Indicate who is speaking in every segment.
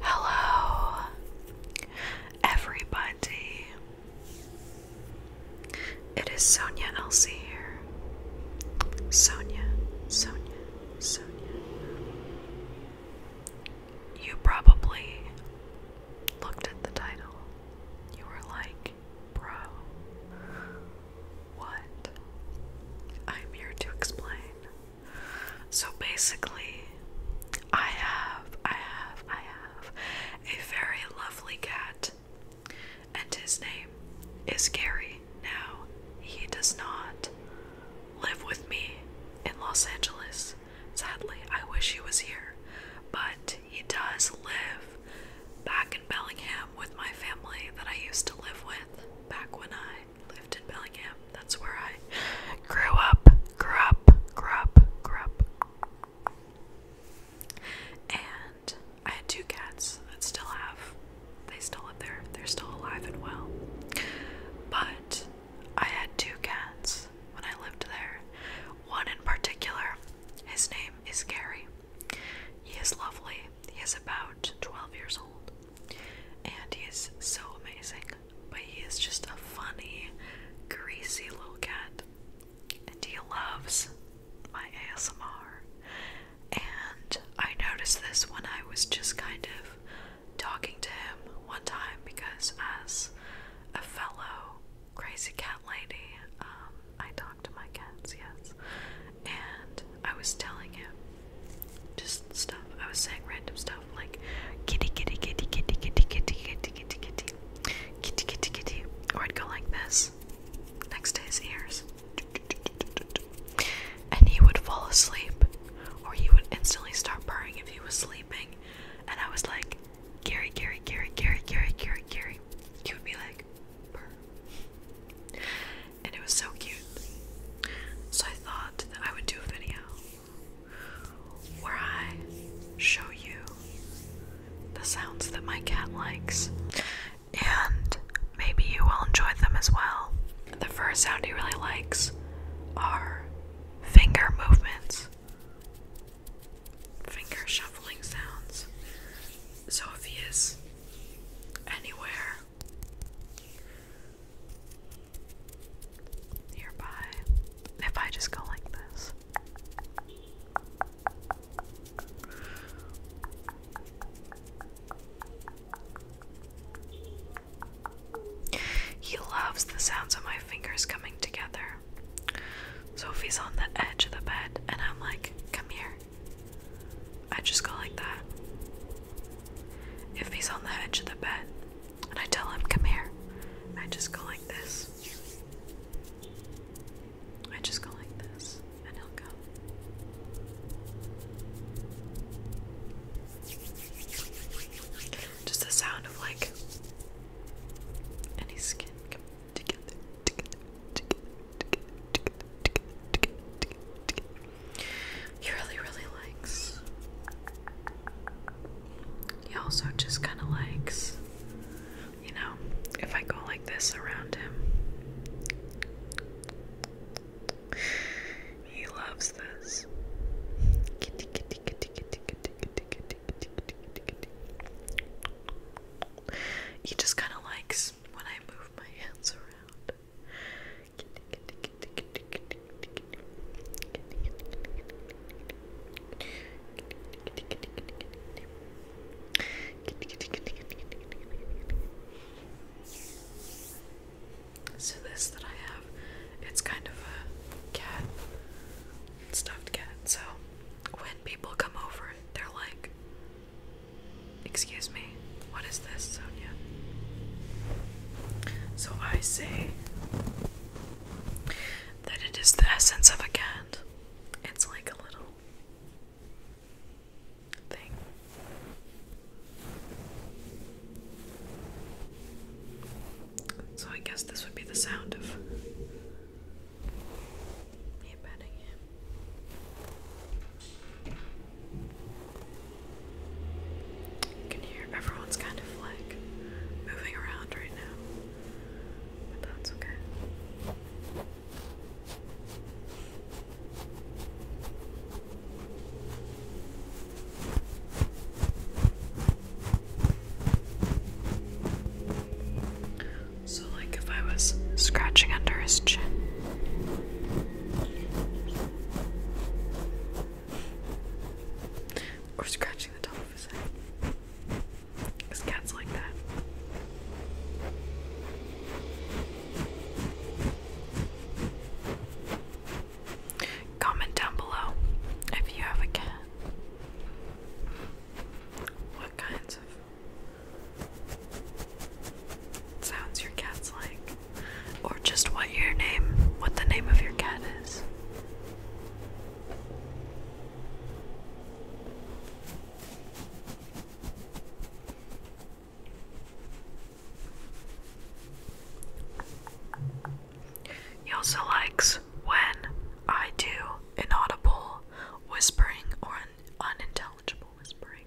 Speaker 1: Hello, everybody. It is Sonya Elsie here. Sonya, Sonya, Sonya. You probably looked at the title. You were like, bro, what? I'm here to explain. So basically, I have, I have, I have a very lovely cat, and his name is Gary. Now, he does not live with me in Los Angeles. Sadly, I wish he was here, but he does live back in Bellingham with my family that I used to live with back when I lived in Bellingham. That's where I grew up, grew up, grew up, grew up. And I had two cats that still have, they still live there, they're still alive and well. But I had two cats when I lived there. One in particular, his name is Gary. He is lovely. He is about 12 years old and he is so amazing. But he is just a funny, greasy little cat, and he loves my ASMR. And I noticed this when I was just kind of talking to him one time because, as a fellow crazy cat lady, um, I talk to my cats, yes. And I was telling him just stuff, I was saying random stuff like kitty, kitty, kitty, kitty, kitty, kitty, kitty, kitty, kitty, kitty, kitty, kitty, or I'd go like this next to his ears, and he would fall asleep, or he would instantly start purring if he was sleeping, and I was like, Gary, Gary, Gary, Gary, Gary, Gary, Gary, he would be like, purr, and it was so cute. So I thought that I would do a video where I show you the sounds that my cat likes, and maybe you will enjoy them as well. The first sound he really likes are finger movements, finger shuffling sounds. So if he is anywhere nearby. If I just go like this. He loves the sounds of my fingers coming together. Sophie's on the edge of the bed, and I'm like, come here. I just go like that. If he's on the edge of the bed, and I tell him, come here. I just go like this. I just go like this, and he'll come. Just the sound of like any skin together, together, together, together, together, together, together, together. He really, really likes he also just kind of likes, you know, if I go like this around him. He loves this. He just kind of likes when I move my hands around. So this that I have, it's kind of a cat, stuffed cat. So when people come over, they're like, "Excuse me, what is this, Sonia?" So I say, that it is the essence of a cat. It's like a little thing. So I guess this would be the sound of me petting him. Can you Everyone's kind of like moving around right now, but that's okay. So, like if I was scratching under his chin. Or scratching because cats like that. Comment down below if you have a cat. What kinds of sounds your cat's like? Or just what your name, what the name of your cat is. He also likes when I do inaudible whispering or unintelligible whispering,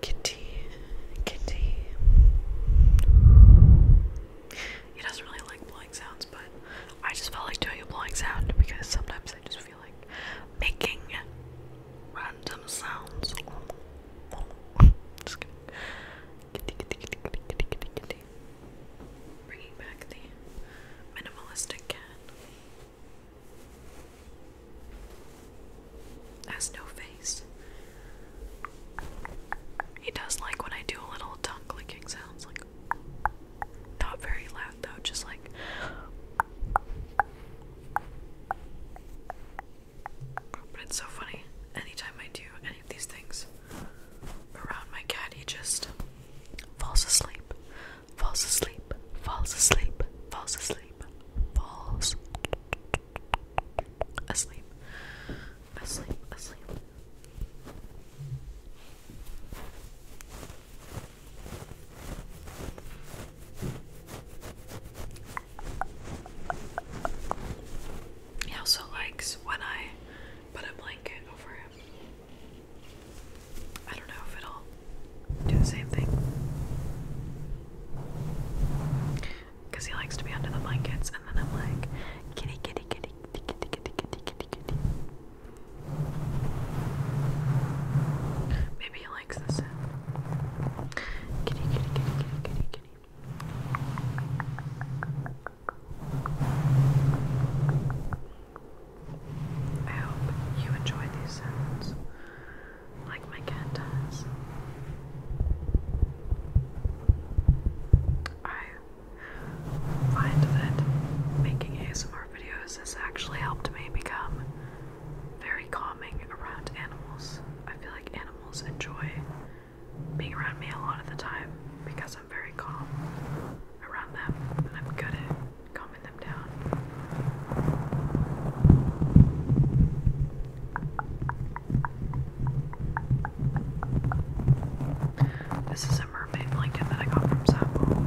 Speaker 1: Kitty, kitty. He doesn't really like blowing sounds, but I just felt like doing a blowing sound because sometimes I just feel like making random sounds. Kitty, kitty, kitty, kitty, kitty, kitty, kitty. Bringing back the minimalistic cat. Has no face. He does like when I do a little tongue clicking sounds, like not very loud though, just like. But it's so funny. Anytime I do any of these things around my cat, he just falls asleep, falls asleep, falls asleep, falls asleep falls asleep, asleep, asleep. He also likes when I put a blanket over him. I don't know if it'll do the same thing. Because he likes to be under the blankets, and then I'm like, kitty, kitty, kitty, kitty, kitty, kitty, kitty, kitty, kitty. Maybe he likes the sound. Kitty, kitty, kitty, kitty, kitty, kitty. I hope you enjoy these sounds like my cat does. I find that making ASMR videos has actually helped me become very calming around animals. I feel like animals enjoy being around me a lot of the time because I'm very calm around them and I'm good at calming them down. This is a mermaid blanket that I got from Sample.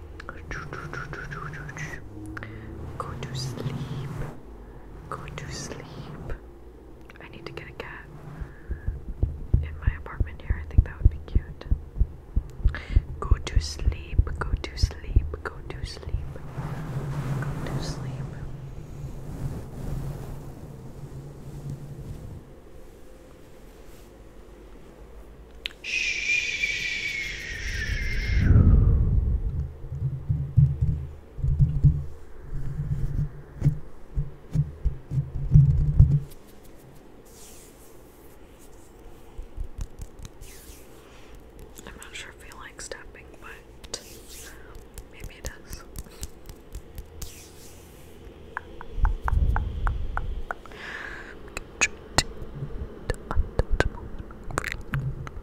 Speaker 1: Go to sleep. Go to sleep. I need to get a cat in my apartment here. I think that would be cute. Go to sleep. Go to sleep. Go to sleep. Go to sleep. I'm not sure if he likes tapping, but maybe it does.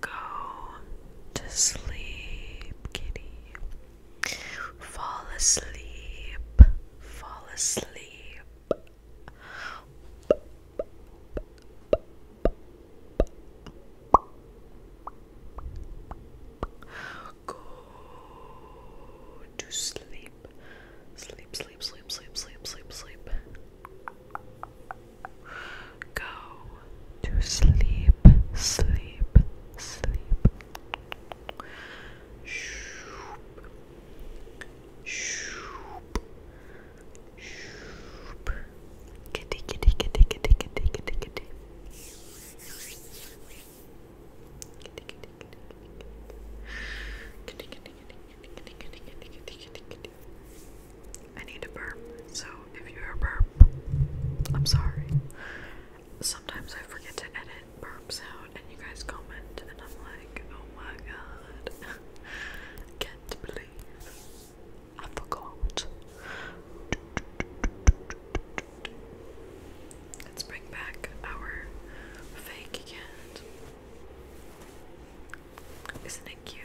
Speaker 1: Go to sleep, kitty. Fall asleep. Fall asleep. Go to sleep. Sleep, sleep, sleep, sleep, sleep, sleep, sleep. Go to sleep, sleep, sleep. Shoop. Shoop. Shoop. Kitty, kitty, kitty, kitty, kitty, kitty, kitty. Kitty, kitty, kitty, kitty, kitty, kitty, kitty, kitty, kitty, kitty, I need to burp, so if you hear a burp, I'm sorry. Sometimes I forget to edit burps out, and you guys comment, and I'm like, oh my god, can't believe I forgot. Let's bring back our fake cat. not it cute.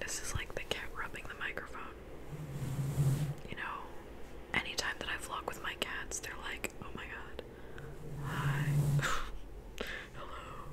Speaker 1: This is like the cat rubbing the microphone. You know, anytime that I vlog with my cats, they're like, oh my god, hi, hello.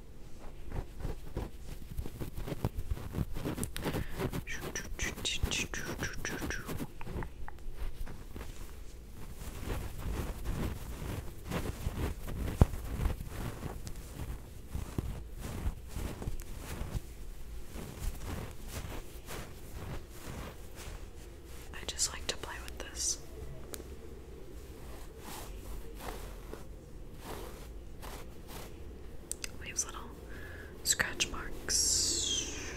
Speaker 1: I just like to play with this. Leaves little scratch marks.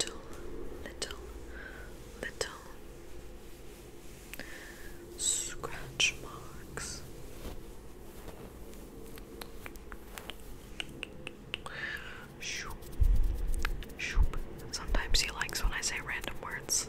Speaker 1: Little, little, little scratch marks. Shoop, shoop. Sometimes he likes when I say random words.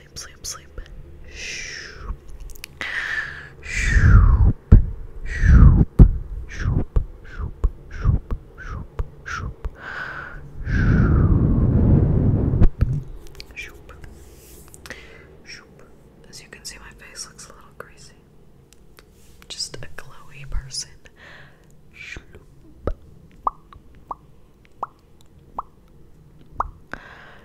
Speaker 1: sleep, sleep, sleep. Shoop. Shoop. Shoop. Shoop. Shoop. Shoop. Shoop. Shoop. Shoop. Shoop. As you can see, my face looks a little greasy. Just a glowy person.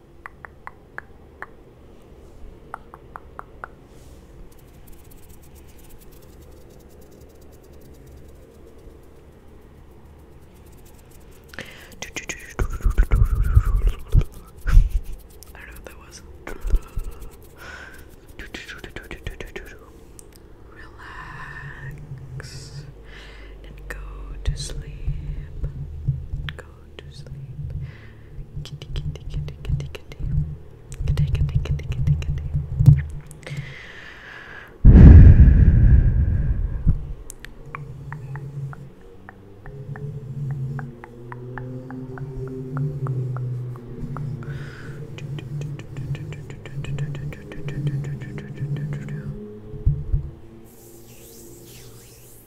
Speaker 1: I don't know what that was. Relax and go to sleep go to sleep. Kitty, kitty, kitty, kitty, kitty. Kitty, kitty, kitty, kitty, kitty. Good night,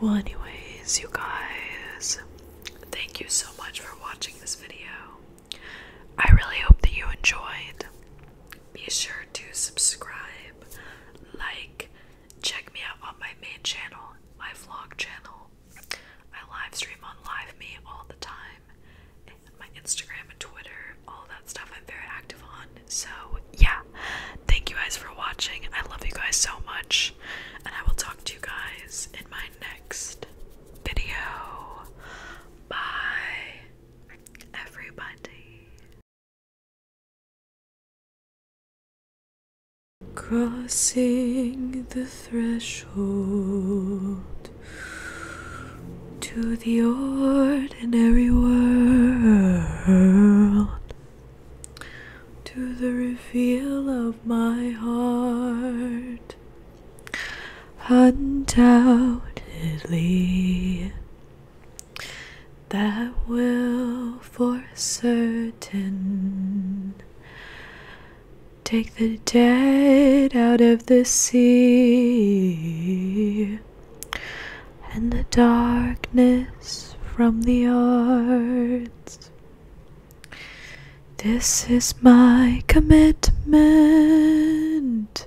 Speaker 1: Well, anyways, you guys, thank you so much for watching this video. I really hope that you enjoyed. Be sure to subscribe, like, check me out on my main channel, my vlog channel. I live stream on Live Me all the time, and my Instagram and Twitter, all that stuff I'm very active on. So, yeah, thank you guys for watching. I love you guys so much, and I will talk to you guys in my next video. Bye everybody. Crossing the threshold to the ordinary world, to the reveal of my heart, undoubtedly that will for certain take the dead out of the sea and the darkness from the arts. This is my commitment